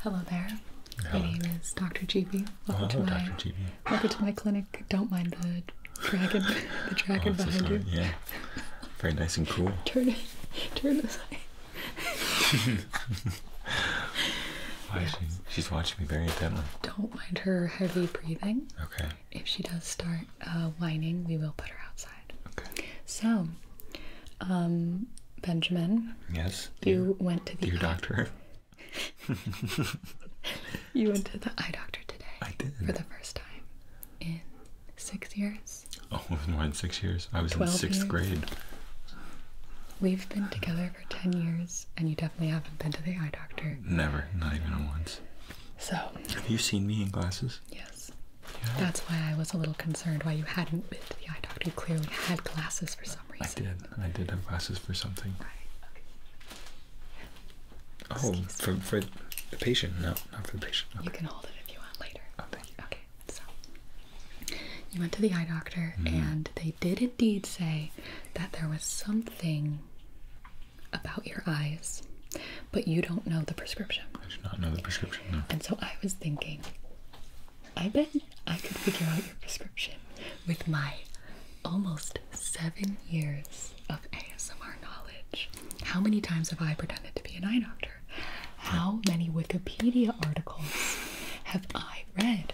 Hello there. My name is Dr. GB. Oh, welcome, to, my, clinic. Don't mind the dragon, the oh, dragon oh, behind you. Yeah. Very nice and cool. turn it, turn this way. she's watching me very intently. Don't mind her heavy breathing. Okay. If she does start uh, whining, we will put her outside. Okay. So, um, Benjamin. Yes. You went to the Your doctor. you went to the eye doctor today. I did. For the first time in six years. Oh, it was more than six years. I was in sixth grade. We've been together for 10 years, and you definitely haven't been to the eye doctor. Never, not even once. So. Have you seen me in glasses? Yes. That's why I was a little confused concerned why you hadn't been to the eye doctor. You clearly had glasses for some reason. I did. I did have glasses for something. Oh, for, the patient? No, not for the patient. You can hold it if you want later. Oh, Okay. So you went to the eye doctor, mm-hmm. and they did indeed say that there was something about your eyes, but you don't know the prescription. I do not know the prescription. And so I was thinking, I bet I could figure out your prescription with my almost seven years of ASMR knowledge. How many times have I pretended to be an eye doctor? How many Wikipedia articles have I read?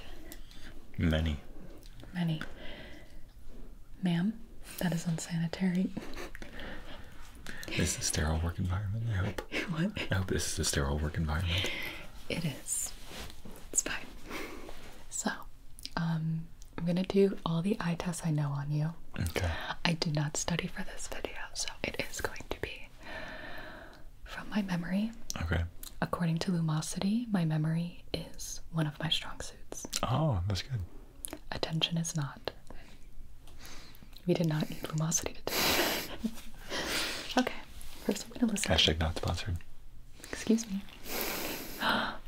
Many. Many. Ma'am, that is unsanitary. is the sterile work environment, I hope. I hope this is a sterile work environment. It is. It's fine. So, um, I'm gonna do all the eye tests I know on you. Okay. I did not study for this video, so it is going to be from my memory. Okay. According to Lumosity, my memory is one of my strong suits. Oh, that's good. Attention is not. We did not need Lumosity to do okay, first I'm gonna listen. Hashtag not sponsored. Excuse me. okay,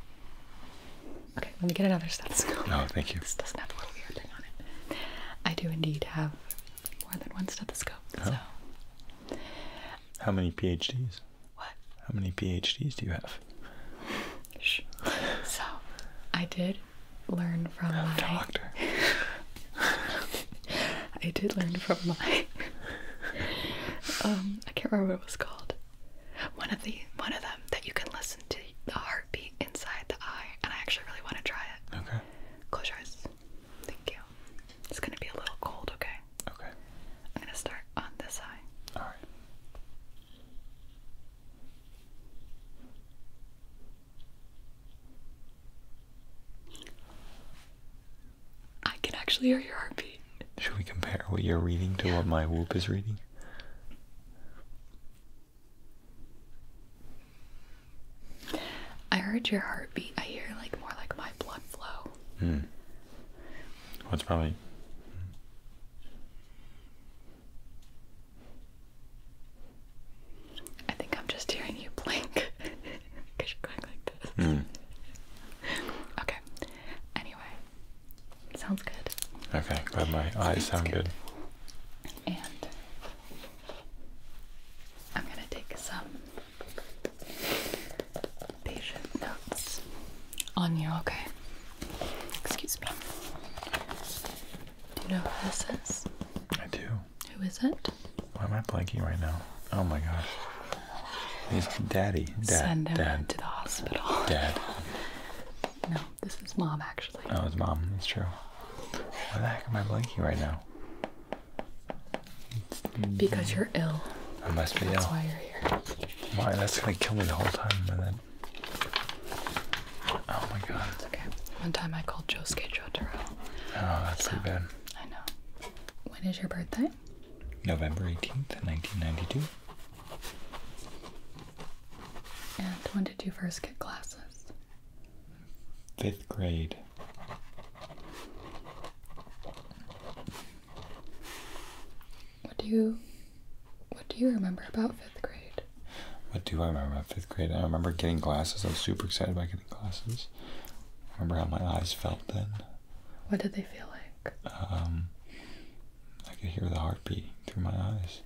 let me get another stethoscope. No, oh, thank you. This doesn't have a little weird thing on it. I do indeed have more than one stethoscope. So. How many PhDs? What? How many PhDs do you have? Shh. So, I did learn from my doctor. I did learn from my um I can't remember what it was called. One of the one of them that you can listen to the heartbeat inside the eye, and I actually really want to try it. Okay. Close your eyes. Thank you. It's gonna be a little cold, okay? Okay. I'm gonna start on this eye. Alright. I can actually hear your heartbeat. Should we compare what you're reading to what my whoop is reading? I heard your heartbeat. I hear like more like my blood flow. Hmm. What's probably I think I'm just hearing you blink because you're going like this. Mm. Okay. Anyway, sounds good. Okay, glad my eyes sound good. good. And I'm gonna take some patient notes on you. Okay. Excuse me. Do you know who this is? I do. Who is it? Why am I blinking right now? Oh my gosh. It's daddy. Dad. Send Dad. to the hospital. Dad. No, this is mom actually. Oh, it's mom. It's true. Why the heck am I blinking right now? Because you're ill. I must be ill. That's why you're here. Why? That's gonna kill me the whole time. And then. Oh my god. okay. One time I called Joe Josuke Jotaro Oh, that's so, too bad. I know. When is your birthday? November 18th, 1992. And when did you first get glasses? Fifth grade. What do you what do you remember about fifth grade? grade. What do I remember about fifth grade? I remember getting glasses. I was super excited about getting glasses. remember how my eyes felt then. What did they feel like? Um, I could hear the heartbeat through my eyes.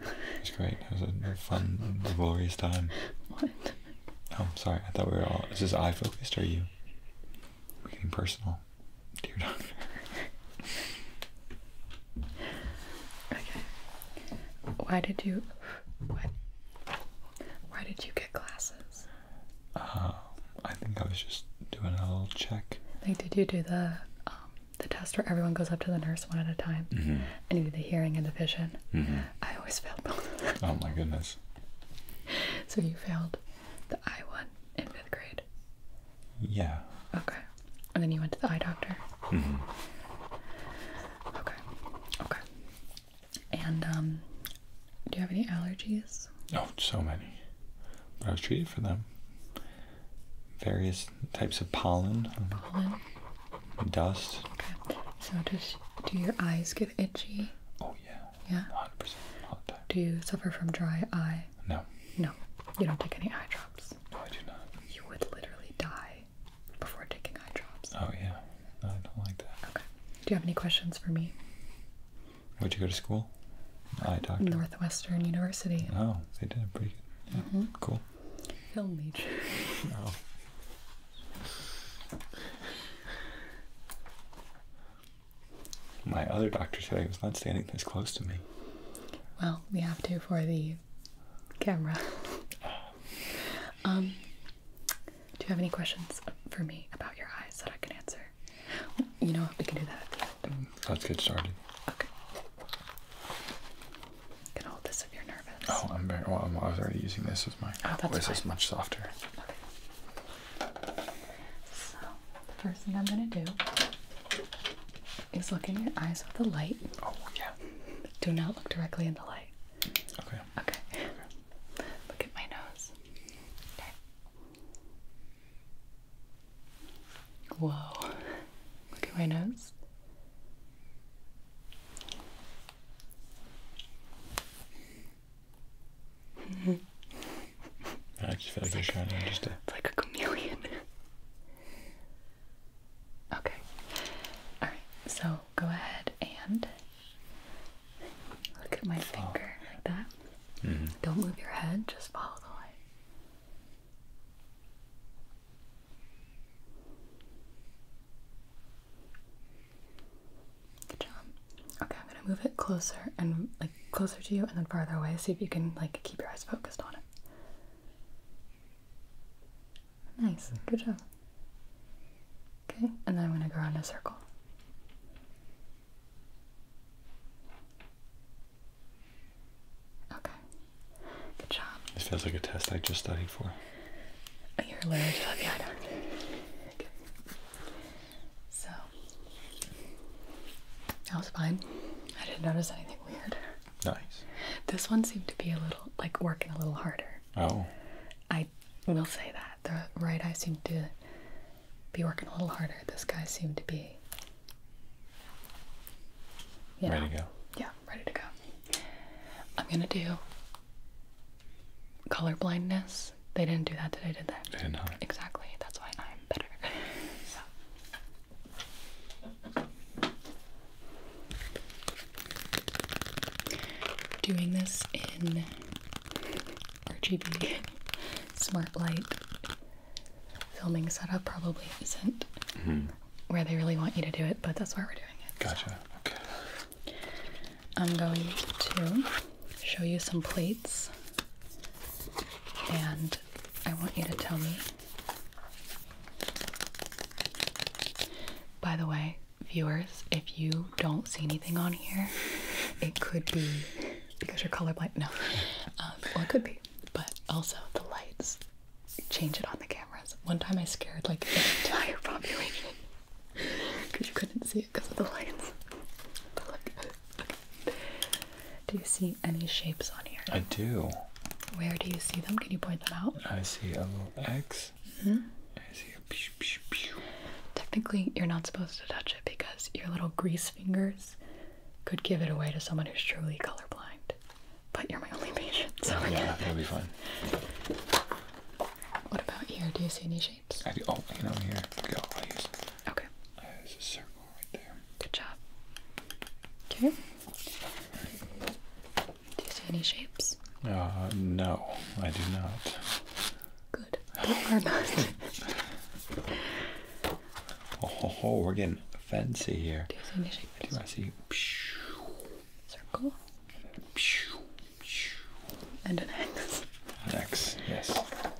It was great. It was a fun, glorious time. What? Oh, sorry. I thought we were all. Is this eye focused? Or are you? We're getting personal, dear doctor. okay. Why did you what? Why did you get glasses? Uh, I think I was just doing a little check. Like, did you do the um, the test where everyone goes up to the nurse one at a time, mm -hmm. and you do the hearing and the vision? Mm-hmm. I always failed both Oh my goodness! So you failed the eye one in fifth grade. Yeah. Okay, and then you went to the eye doctor. Mm-hmm. Okay. Okay. And um, do you have any allergies? Oh, so many. But I was treated for them. Various types of pollen. Pollen. Dust. Okay. So does do your eyes get itchy? Oh yeah. Yeah. 100% all time. Do you suffer from dry eye? No. No. You don't take any eye drops. No, I do not. You would literally die before taking eye Oh yeah, I don't like that. Okay. Do you have any questions for me? Where'd you go to school? Eye doctor. Northwestern University. Oh, they did a pretty good. Mm-hmm. Cool. Film major. oh. My other doctor today was not standing this close to me. Well, we have to for the camera. Um, do you have any questions for me about your eyes that I can answer? You know what? We can do that at the end. Let's get started. Okay. Can hold this if you're nervous. Oh, I'm very well. I'm, was already using this as my. Oh, that's voice fine. is much softer. So the first thing I'm gonna do is look in your eyes with the light. Oh yeah. Do not look directly in the light. Okay. Okay. Look at my nose. Whoa. Look at my nose. I actually feel like, like you just. like a chameleon. Okay. All right. So go ahead and look at my finger like that. Mm-hmm. Don't move your head. Just follow the light. Good job. Okay, I'm gonna move it closer and like closer to you, and then farther away. See if you can like keep your eyes focused on it. Nice, good job. Okay, and then I'm going to go around a circle. Okay, good job. This feels like a test I just studied for. Oh, you're allergic to yeah, I know. Okay. So, that was fine. I didn't notice anything weird. Nice. This one seemed to be a little like working a little harder. Oh. I will say that. The right eye seemed to be working a little harder. This guy seemed to be ready to go. Yeah, ready to go. I'm gonna do color blindness. They didn't do that today, did they? did not. Exactly. That's why I'm better. Doing this in RGB smart light filming setup probably isn't hmm. where they really want you to do it, but that's why we're doing it. Gotcha. Okay. I'm going to show you some plates, and I want you to tell me by the way, viewers, if you don't see anything on here, it could be because you're colorblind. No, um, well, it could be, but also the lights change it on the cameras. One time I scared like an entire population because you couldn't see it because of the lights. Do you see any shapes on here? I do. Where do you see them? Can you point them out? I see a little X. -hmm. I see a pew, pew, pew. Technically, you're not supposed to touch it because your little grease fingers could give it away to someone who's truly colorblind. But you're my only patient, so oh, yeah, that'll be fun. What about here? Do you see any shapes? I do. Oh, you know here. Okay. there's a circle right there. Good job. Okay. Do you see any shapes? Uh, no, I do not. Good. Don't oh, we're getting fancy here. Do you see any shapes? Do I see? Circle. And an X. An X, yes. What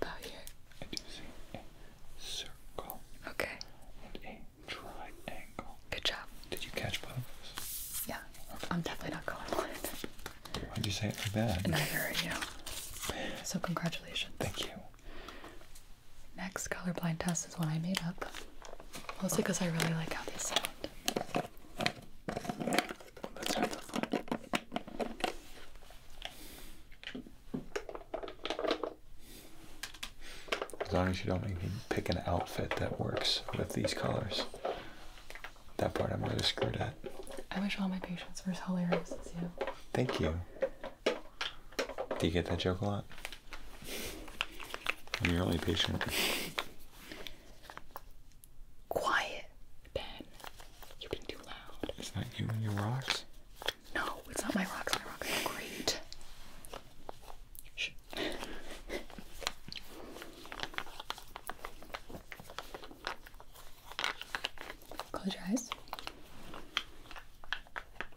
about here? I do see a circle. Okay. And a triangle. Good job. Did you catch both of those? Yeah. I'm definitely not colorblind. Why'd you say it so bad? Neither are you. So congratulations. Thank you. Next colorblind test is one I made up. Mostly because I really like how these sound. As long as you don't make me pick an outfit that works with these colors. That part I'm really screwed at. I wish all my patients were as hilarious as you. Thank you. Do you get that joke a lot? You're really patient. Quiet, Ben. You've been too loud. It's not you and your rocks. No, it's not my rocks. My rocks are great. Close your eyes.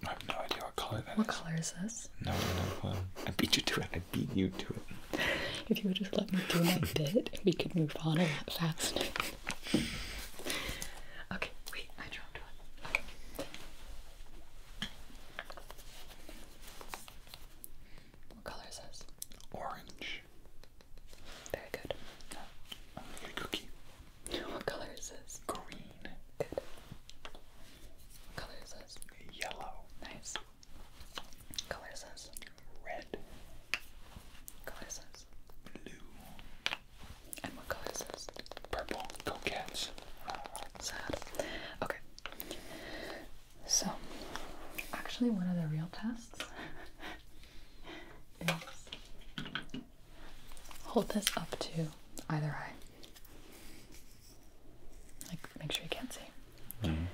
I have no idea what color that What color is this? No, no, no. I beat you to it. I beat you to it. If you would just let me do my bit, we could move on a lot faster. okay, wait. I what color is this? Orange. Very good. Oh. cookie. What color is this? Green. Good. What color is this? Yellow. Nice. What color is this? Red. What color is this? Blue. And what color is this? Purple. Go Cats. Sad. Okay. So, actually, one of the real tests is hold this up to either eye. Like, make sure you can't see. Mm-hmm.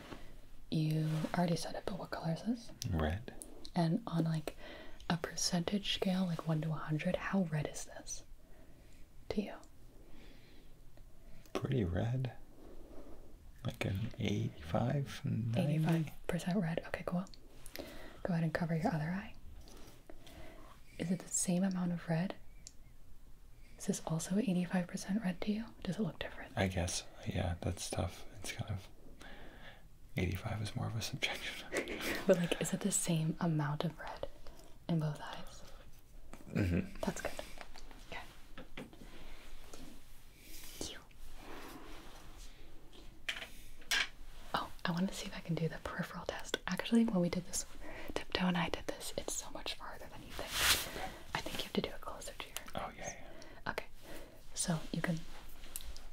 You already said it, but what color is this? Red. And on like a percentage scale, like one to hundred, how red is this? to you? Pretty red. Like an 85? 85% red. Okay, cool. Go ahead and cover your other eye. Is it the same amount of red? Is this also 85% red to you? Does it look different? I guess. Yeah, that's tough. It's kind of. 85 is more of a subjection. but, like, is it the same amount of red? in both eyes. Mm-hmm. That's good. Okay. Oh, I want to see if I can do the peripheral test. Actually, when we did this, Tiptoe and I did this, it's so much farther than you think. I think you have to do it closer to your. Oh, yeah, Okay. So you can.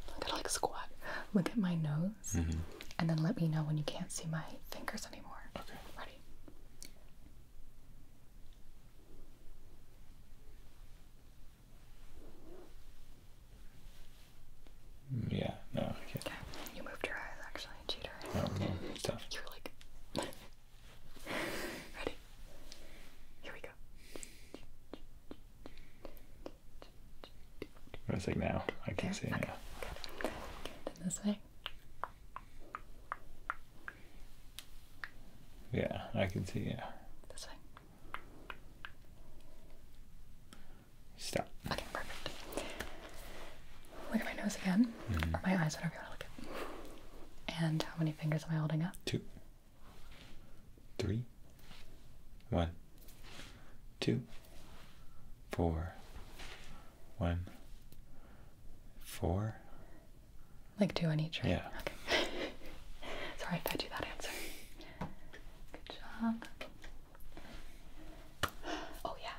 I gotta like squat. Look at my nose and then let me know when you can't see my fingers anymore. Okay. Ready? Yeah, no, Okay. You moved your eyes actually, cheater. You're like Ready? Here we go. What do What is think now? I can there. see it Yeah, I can see. Yeah. This way. Stop. Okay, perfect. Look at my nose again, mm-hmm. or my eyes, whatever you want to look at. And how many fingers am I holding up? Two. Three. One two, four, one, four. Like two on each, Yeah. Okay. Sorry if I do that answer. Good job. Oh, yeah.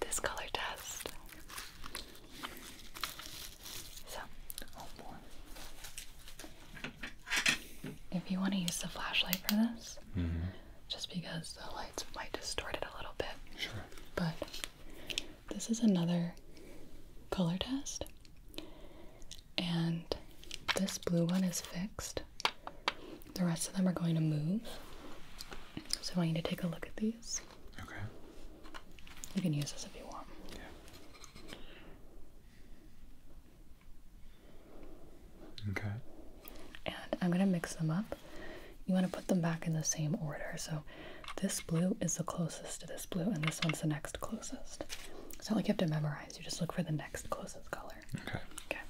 This color test. So, If you want to use the flashlight for this, mm just because the lights might distort it a little bit. Sure. But this is another color test. And this blue one is fixed. The rest of them are going to move. So I want you to take a look at these. Okay. You can use this if you want. Yeah. Okay. And I'm going to mix them up. You want to put them back in the same order. So this blue is the closest to this blue, and this one's the next closest. It's not like you have to memorize, you just look for the next closest color. Okay. Okay.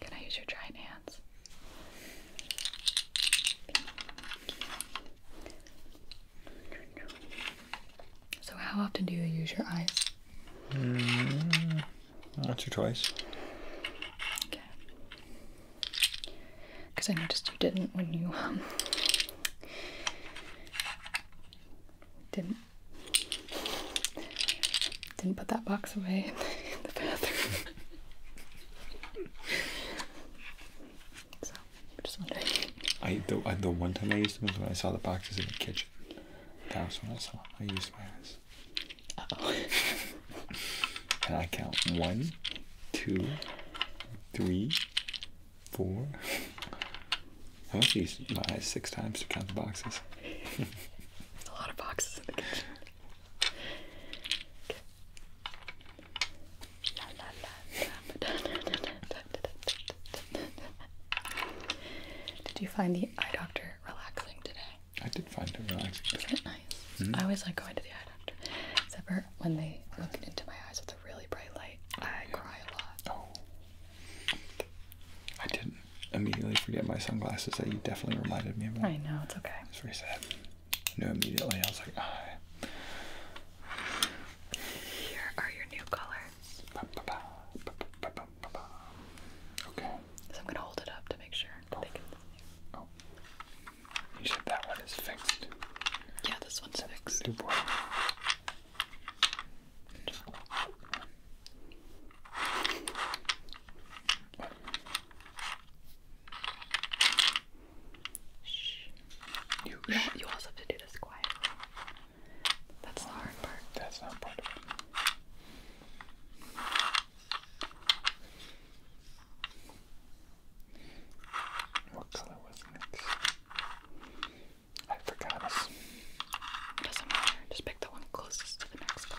Can I use your giant hands? So, how often do you use your eyes? Mm, once or twice. Okay. Because I noticed you didn't when you um, didn't didn't put that box away in the bathroom. So i just wondering. I the, I the one time I used them was when I saw the boxes in the kitchen. That was when I saw them. I used my eyes. Uh and I count one, two, three, four. I must use my eyes six times to count the boxes. a lot of boxes Did you find the eye doctor relaxing today? I did find it relaxing. is nice? Mm-hmm. I always like going to the eye doctor. Except when they look into my eyes with a really bright light, I oh, cry a lot. Oh. I didn't immediately forget my sunglasses that you definitely reminded me of. I know, it's okay. It's very sad knew immediately. I was like, Here are your new colors. Okay. So I'm gonna hold it up to make sure oh. Oh. You said that one is fixed. Yeah, this one's fixed. Shh. You, also have to do this quietly. That's the hard part. That's not part of it. What color was next? I forgot Doesn't matter. Just pick the one closest to the next color.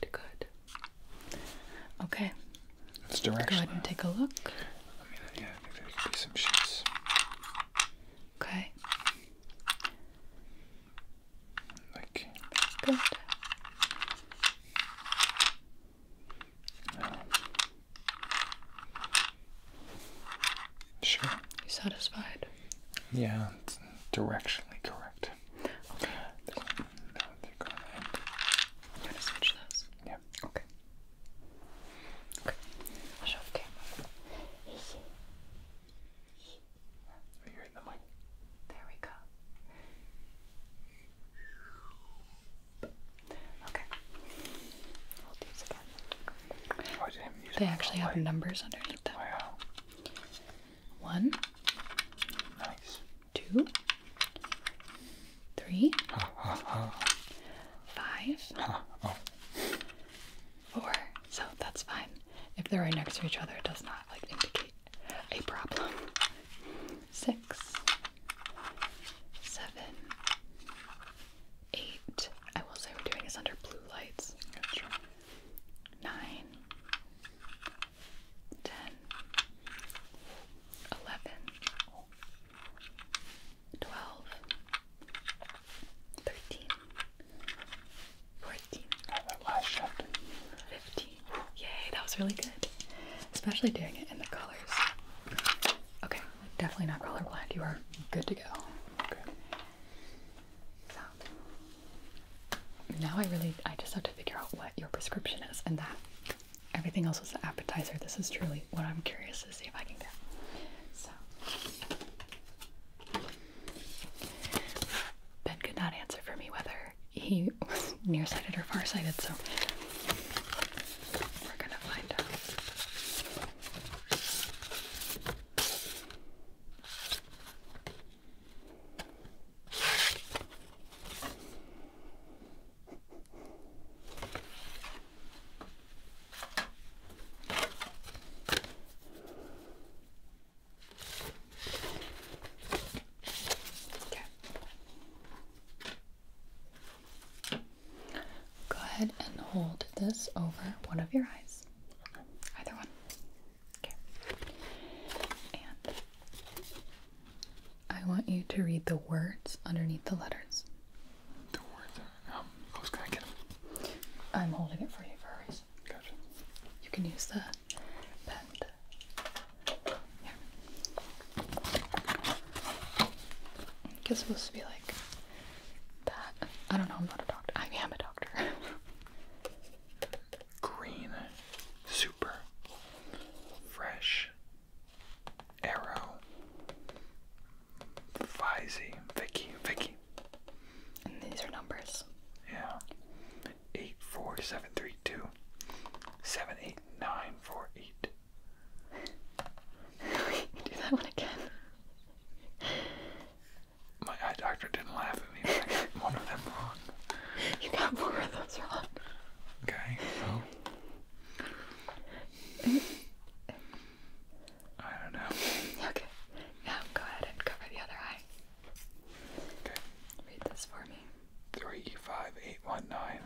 Good, good. Okay. It's directional. Go ahead and take a look. Okay. Like. Good. Sure. satisfied? Yeah, directionally correct. Okay. This one, that one thicker on to switch those? Yeah. Okay. Okay. I'll show the camera. Are you in the mic? There we go. Okay. I'll again. they actually have numbers underneath them. Wow. One, two, three, five, four. So that's fine. If they're right next to each other, it does not like indicate a problem. Six, seven, eight. I will say we're doing this under blue lights nine, ten, eleven, twelve, thirteen, fourteen, fifteen. Yay, that was really good. Especially doing it in the colors. Okay, definitely not colorblind. You are good to go. Okay. So now I really I just have to figure out what your prescription is and that everything else was an appetizer. This is truly what I'm curious to see if I can get. So Ben could not answer for me whether he was nearsighted or farsighted, so we're gonna find out. Go ahead and hold this over one of your eyes. Either one. Okay. And I want you to read the words underneath the letters. The words Um, who's gonna get them? I'm holding it for you furries. Gotcha. You can use the pen. Here. I guess supposed to be like that. I don't know, I'm not a doctor. I am a doctor. green, super, fresh, arrow, Vizy, Vicky, Vicky. And these are numbers. Yeah. 84732 78948. Do that one again. My eye doctor didn't laugh at me one of them wrong. You got more of those wrong. Okay, well. I don't know. Okay. Now go ahead and cover the other eye. Okay. Read this for me. Three five eight one nine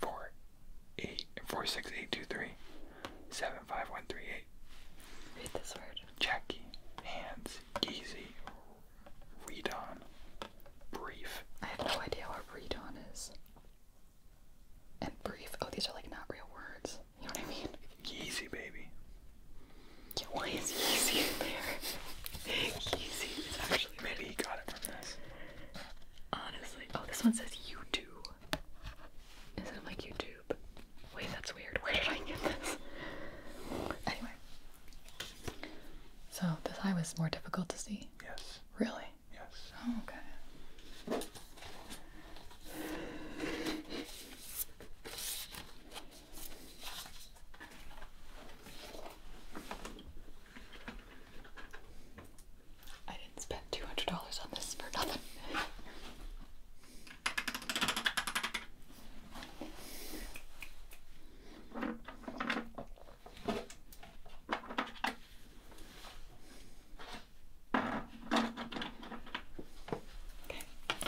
four eight four six eight two three seven five one three eight. Read this word. Jackie. Hands is Redon Brief. I have no idea what Redon is. And brief. Oh, these are like not real words. You know what I mean? Yeezy, baby. Yeah, why is Yeezy in there? Yeezy is actually. Maybe he got it from this. Honestly. Oh, this one says you do. Instead of like you do. Wait, that's weird. Where did I get this? Anyway. So this eye was more difficult to see? Yes. Really? Yes. Oh, okay. I didn't spend $200 on this for nothing. Okay,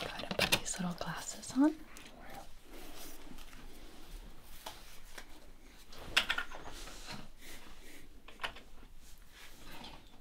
go ahead and put these little glasses on.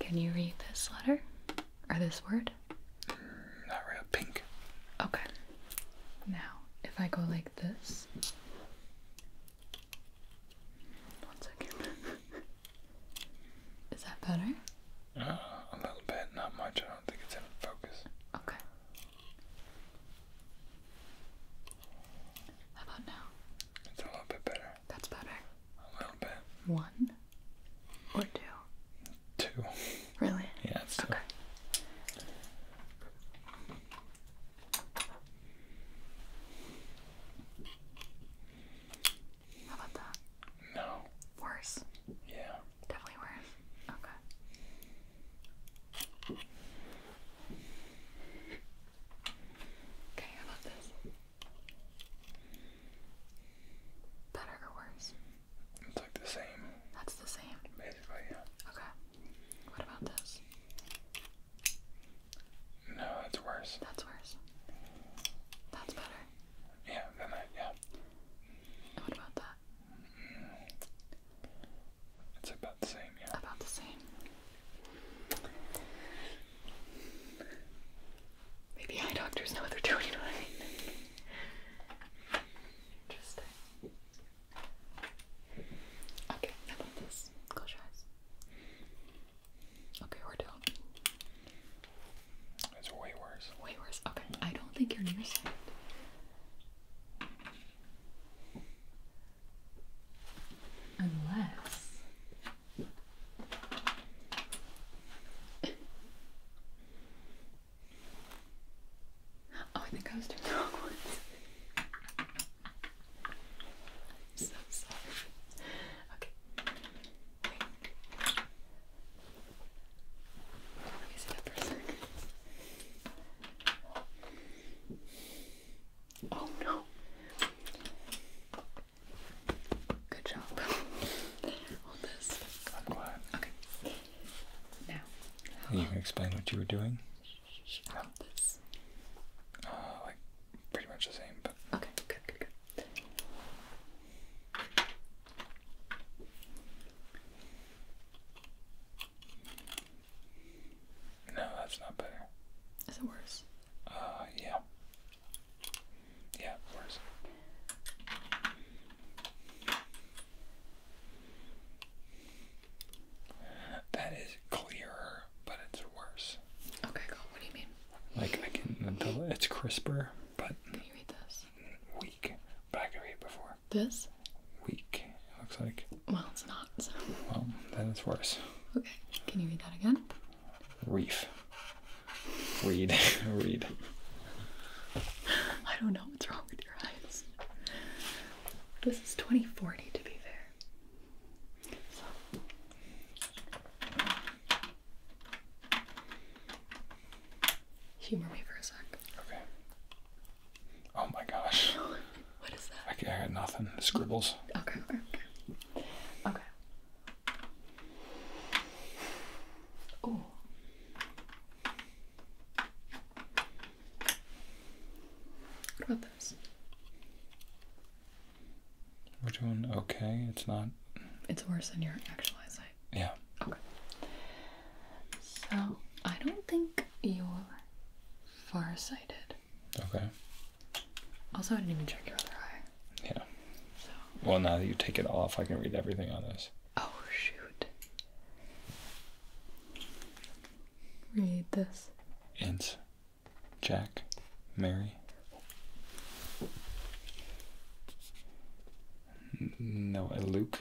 Can you read this letter? Or this word? Mm, not real pink. Okay. Now, if I go like this. One second. Is that better? Uh, a little bit, not much. I don't think it's in focus. Okay. about now? It's a little bit better. That's better. A little bit. One or two? Two. Really? Yeah, it's Okay. How about that? No. Worse? Yeah. Definitely worse. Okay. Okay, how about this? Better or worse? It's like the same. That's the same. Basically, yeah. Okay. What about this? No, that's worse. That's worse. That's better. Yeah, then yeah. what about that? It's about the same, yeah. About the same. Maybe eye doctors know what they're doing, you know what I mean? Interesting. Okay, how about this? Close your eyes. Okay, or It's way worse. Way worse. Okay, I don't think you're near nearsighted. Unless. Oh, I think I was doing the wrong ones. I'm so sorry. Okay. Wait. Oh no. Good job. Hold this. Okay. Now. Can explain what you were doing? No. This. Uh, like pretty much the same, but. Okay. Good. Good. Good. No, that's not better. Is it worse? Uh, yeah. Yeah, worse. That is clearer, but it's worse. Okay, cool. What do you mean? Like I can it's crisper, but Can you read this? weak. But I could read before. This? Weak. looks like well, it's not. So. Well, then it's worse. Okay. Can you read that again? Reef. Read. read. I don't know what's wrong with your eyes. This is 2040 to be fair. Humor me for a sec. Okay. Oh my gosh. What is that? I, I got nothing. Scribbles. Okay, okay, okay. Okay. Oh. What this? We're doing okay. It's not. It's worse than your actual eyesight. Yeah. Okay. So I don't think you're far sighted. Okay. Also, I didn't even check your other eye. Yeah. So. Well, now that you take it off, I can read everything on this. Oh, shoot. Read this. It's Jack, Mary. No, uh, Luke.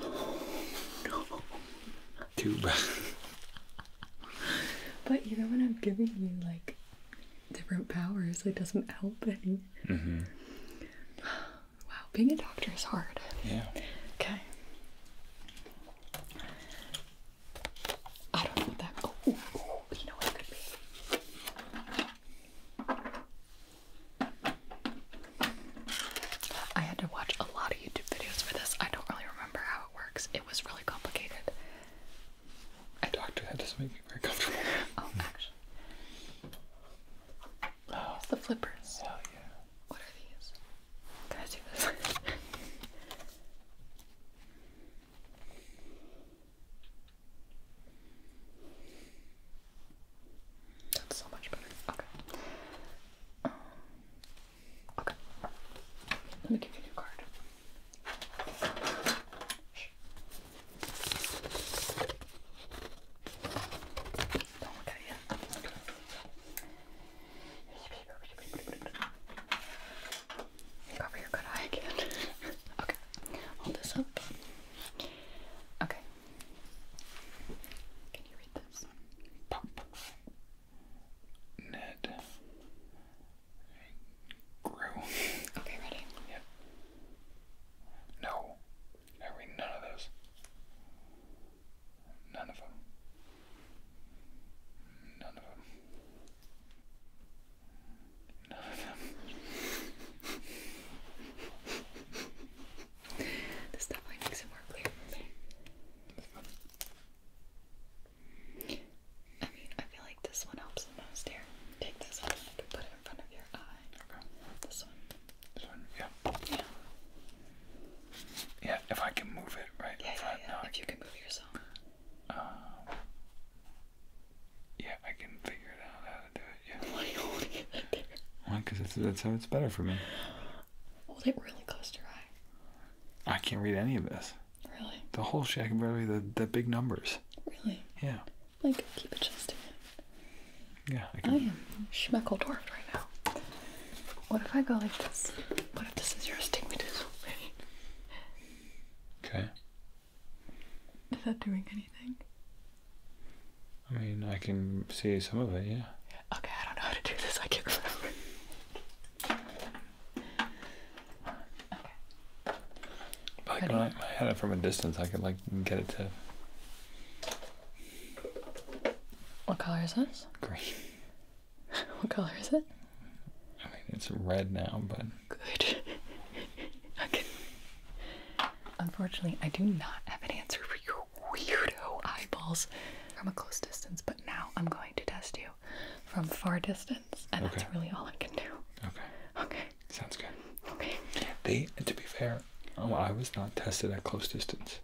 Oh, no. Tube. but you know when I'm giving you like different powers, it doesn't help any. Mm-hmm. Wow, being a doctor is hard. Yeah. Okay. I don't know that. Oh, you know what it could be. I had to watch a lot of YouTube videos for this. I don't really remember how it works it was really complicated. I doctor that doesn't make me very comfortable. oh, actually. Oh. the flippers. Hell yeah. What are these? Can I this? That's so much better. Okay. Um, Okay. Let me give you a new card. Don't look at it Cover your good eye again. okay. Hold this up. Okay. Can you read this? Pop. Ned Okay, ready? Yep. No. I read none of those. None of them. None of them. None of them. this definitely makes it more clear. I mean, I feel like this one helps the most here. Take this one and put it in front of your eye. This one. This one, yeah. Yeah. Yeah, if I can move it right yeah, Yeah, yeah. if you can move yourself. Um, yeah, I can figure it out how to do it. Yeah. Why Why? Because that's how it's better for me. Hold it really close to your eye. I can't read any of this. Really? The whole shit. I can barely the the big numbers. Really? Yeah. Like keep adjusting it. Yeah. I, am schmeckle dwarfed right now. What if I go like this? What if this is your astigmatism? okay. Is that doing anything? I mean, I can see some of it. Yeah. Okay, I don't know how to do this. I can't remember. Okay. Like when I, when I had it from a distance, I could like get it to. What color is this? Green. what color is it? I mean, it's red now, but. Good. okay. Unfortunately, I do not have an answer for your weirdo eyeballs from a close distance, now I'm going to test you from far distance, and that's really all I can do. Okay. Okay. Sounds good. Okay. They, to be fair, oh, I was not tested at close distance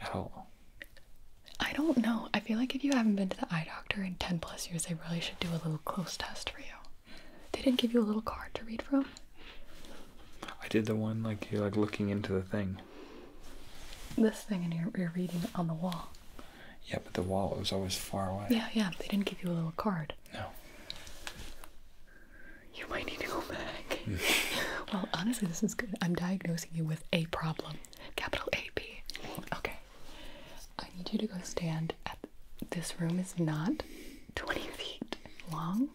at all. I don't know. I feel like if you haven't been to the eye doctor in 10 plus years, they really should do a little close test for you. They didn't give you a little card to read from. I did the one like you're like looking into the thing this thing and you're, you're reading on the wall. Yeah, but the wall was always far away. Yeah, yeah. They didn't give you a little card. No. You might need to go back. well, honestly, this is good. I'm diagnosing you with a problem. Capital AP. Okay. I need you to go stand at this room is not 20 feet long.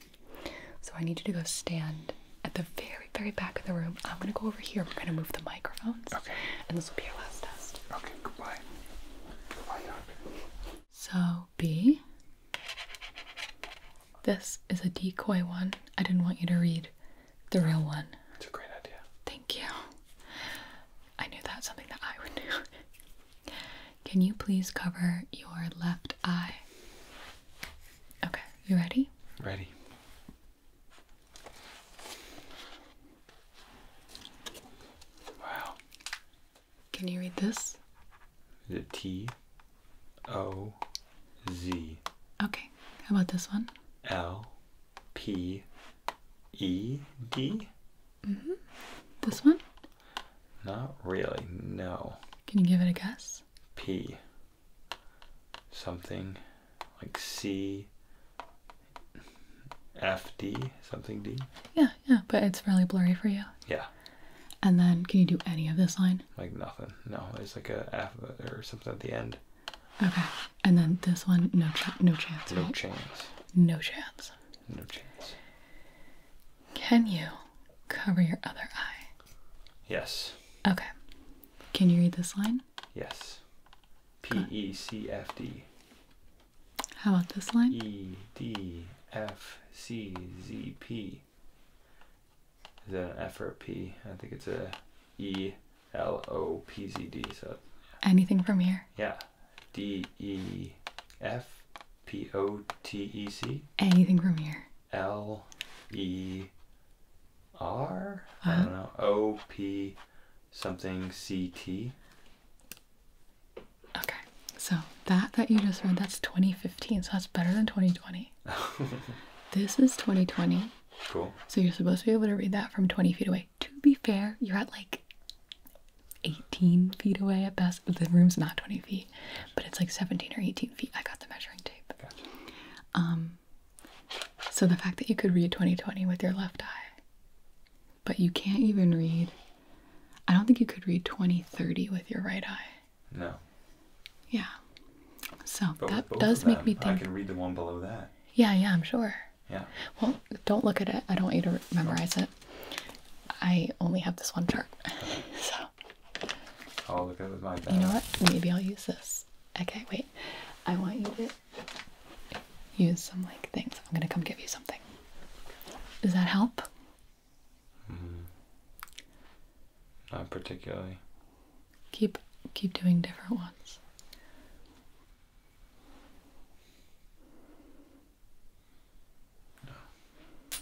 So I need you to go stand at the very, very back of the room. I'm gonna go over here. We're gonna move the microphones. Okay. And this will be your last test. Okay. Goodbye. Goodbye, doctor. So B. This is a decoy one. I didn't want you to read the real one. It's a great idea. Thank you. I knew that's something that I would do. Can you please cover your left eye? Okay. You ready? Ready. Wow. Can you read this? The T O Z? Okay. How about this one? L D? Mm-hmm. This one? Not really, no. Can you give it a guess? P something like C F D something D. Yeah, yeah, but it's fairly blurry for you. Yeah. And then can you do any of this line? Like nothing. No, it's like a F or something at the end. Okay. And then this one, no, chance. No chance. No chance. No chance. Can you cover your other eye? Yes. Okay. Can you read this line? Yes. P E C F D. How about this line? E D F C Z P. Is that F or a P? I think it's a E L O P Z D. So. Anything from here? Yeah. D E F P O T E C. Anything from here? L E R? don't know. O P something C T. Okay. So that that you just read, that's 2015. So that's better than 2020. this is 2020. Cool. So you're supposed to be able to read that from 20 feet away. To be fair, you're at like 18 feet away at best. The room's not 20 feet, but it's like 17 or 18 feet. I got the measuring tape. Um, so the fact that you could read 2020 with your left eye, but you can't even read. I don't think you could read 2030 with your right eye. No. Yeah. So that does make me think. I can read the one below that. Yeah, yeah, I'm sure. Yeah. Well, don't look at it. I don't want you to memorize it. I only have this one chart. so I'll oh, look at it with my bag. You know what? Maybe I'll use this. Okay, wait. I want you to use some like things. I'm gonna come give you something. Does that help? Hmm. not particularly. Keep keep doing different ones. No.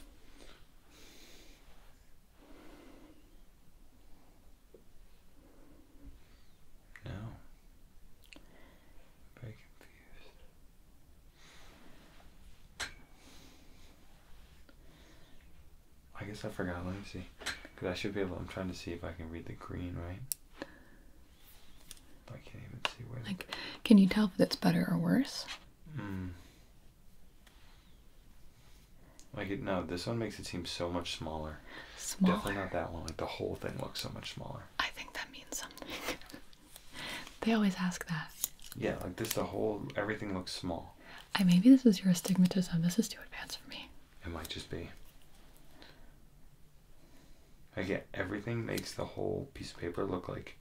No. i very confused. I guess I forgot. Let me see. Because I should be able, I'm trying to see if I can read the green, right? I can't even see where. Like, can you tell if it's better or worse? Mm. Like it, no, this one makes it seem so much smaller. Smaller. Definitely not that one. Like the whole thing looks so much smaller. I think that means something. they always ask that. Yeah, like this, the whole everything looks small. I maybe this is your astigmatism. This is too advanced for me. It might just be. I get everything makes the whole piece of paper look like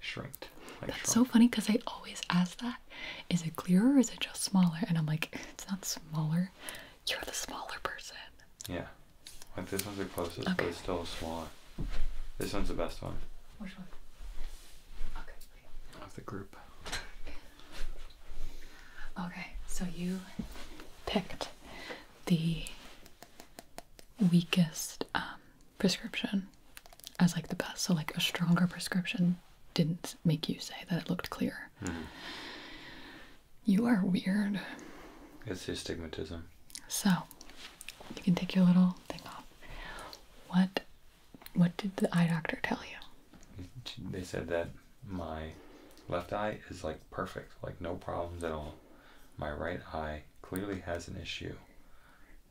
shrinked. Like That's so funny because I always ask that, is it clearer or is it just smaller? And I'm like, it's not smaller. You're the smaller person. Yeah. Like this one's the closest, but it's still smaller. This one's the best one. Which one? Okay. Of the group. Okay, so you picked the weakest um, prescription as like the best. So like a stronger prescription didn't make you say that it looked clear. Mm-hmm. You are weird. It's the astigmatism. So you can take your little thing off. What what did the eye doctor tell you? They said that my left eye is like perfect, like no problems at all. My right eye clearly has an issue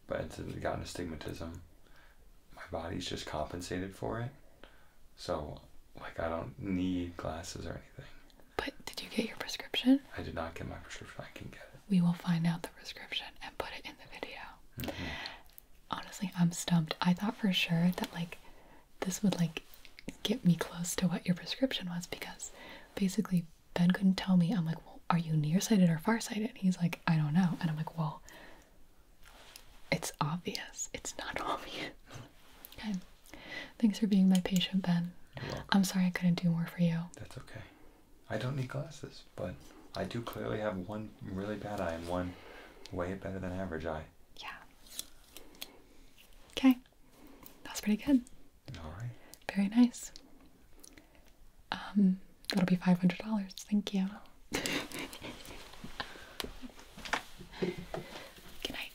but it's gotten astigmatism. My body's just compensated for it. So, like, I don't need glasses or anything. But did you get your prescription? I did not get my prescription. I can get it. We will find out the prescription and put it in the video. Mm-hmm. Honestly, I'm stumped. I thought for sure that, like, this would, like, get me close to what your prescription was because basically Ben couldn't tell me. I'm like, well, are you nearsighted or farsighted? He's like, I don't know. And I'm like, well, it's obvious. It's not obvious. Okay. Thanks for being my patient, Ben. I'm sorry I couldn't do more for you. That's okay. I don't need glasses, but I do clearly have one really bad eye and one way better than average eye. Yeah. Okay. That's pretty good. All right. Very nice. Um, that'll be five hundred dollars. Thank you. Good night.